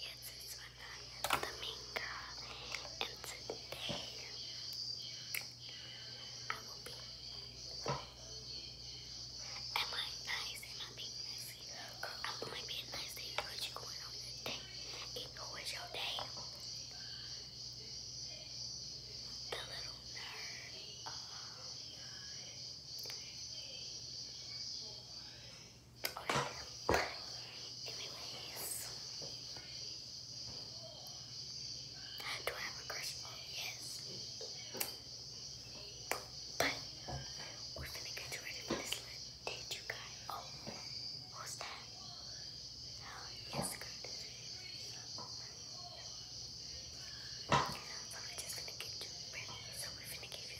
Yes, it's Vanaya the main girl, and today I will be. Am I nice? Am I being messy? Girl, am only being nice to you are going on the day. You your day. The little nerd. Uh, Okay. Anyways. Do I have a crush? Oh, yes. But we're gonna get you you guys. Oh, who's that? Oh, yes, good. So we're just gonna get you ready. So we're gonna give you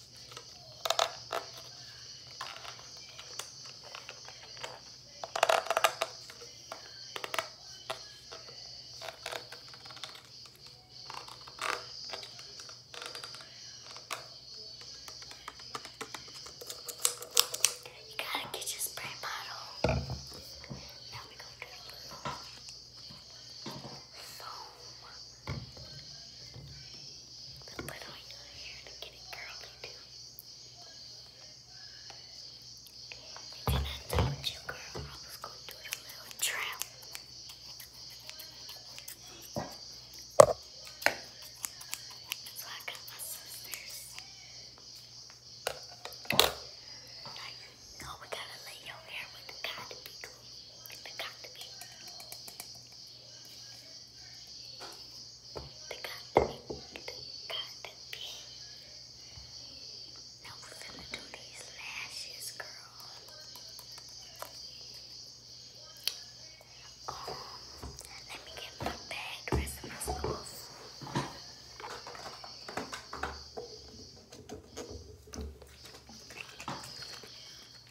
You gotta get your spray bottle. Now we go to the foam. The little yellow hair to get it curly too. And I told you girl, I was going to do a little trail. So I got my sisters. Now we gotta lay your hair with the cotton be With the cotton be. The cat, the cat pig. Now we're going do these lashes, girl. Oh, let me get my bag, rest my stuff.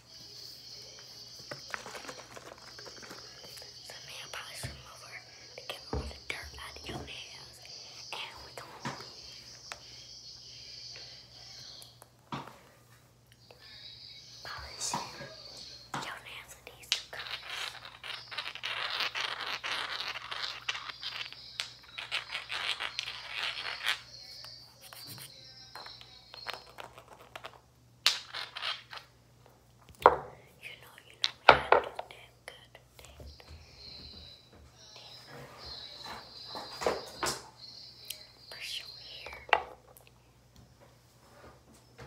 So may I probably to get all the dirt out of your nails. And we're gonna polish your nails with these two you know, you know, we had to damn good. Damn, damn. Brush your hair.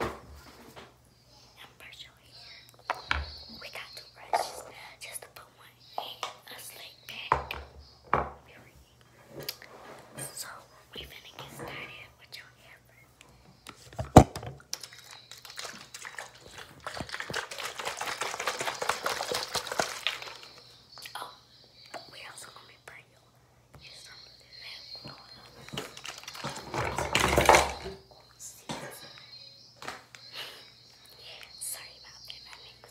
And brush your hair. We got two brushes, just to put one in a slick back. Period. So we finna get started with your hair Oh, we also gonna be bringing you some of Sorry about that,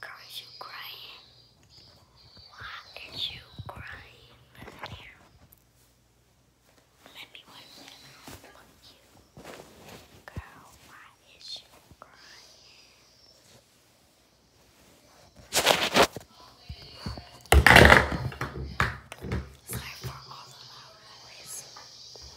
Girl, you crying? Why are you crying? Let me one minute. I you. Girl, why is you crying? Sorry for all the loud noise.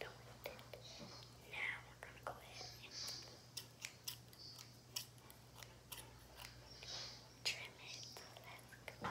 done with Now we're gonna go ahead and trim it. Let's go.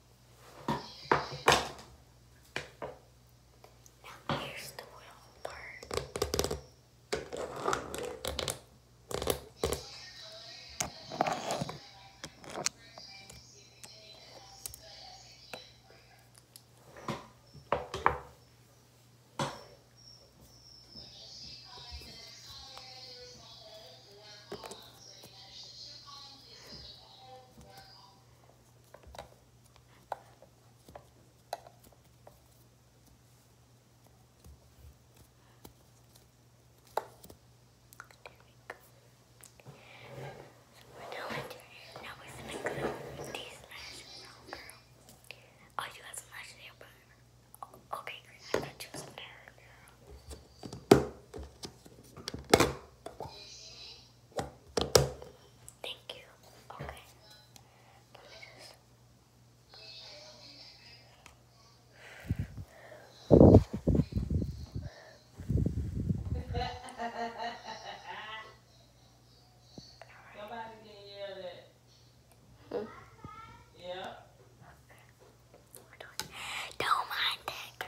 Now here's the royal part we're doing now we're gonna glue these lashes on, girl. Oh, you got some lashes here, but okay, great. I got you some there, girl. Thank you. Okay. Let me just. Don't mind that,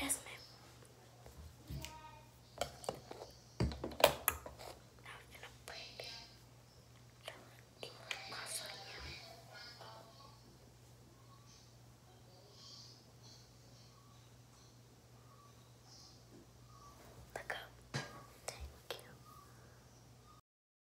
Yes, ma'am. Now we're gonna break the muscle here. Look up. Thank you.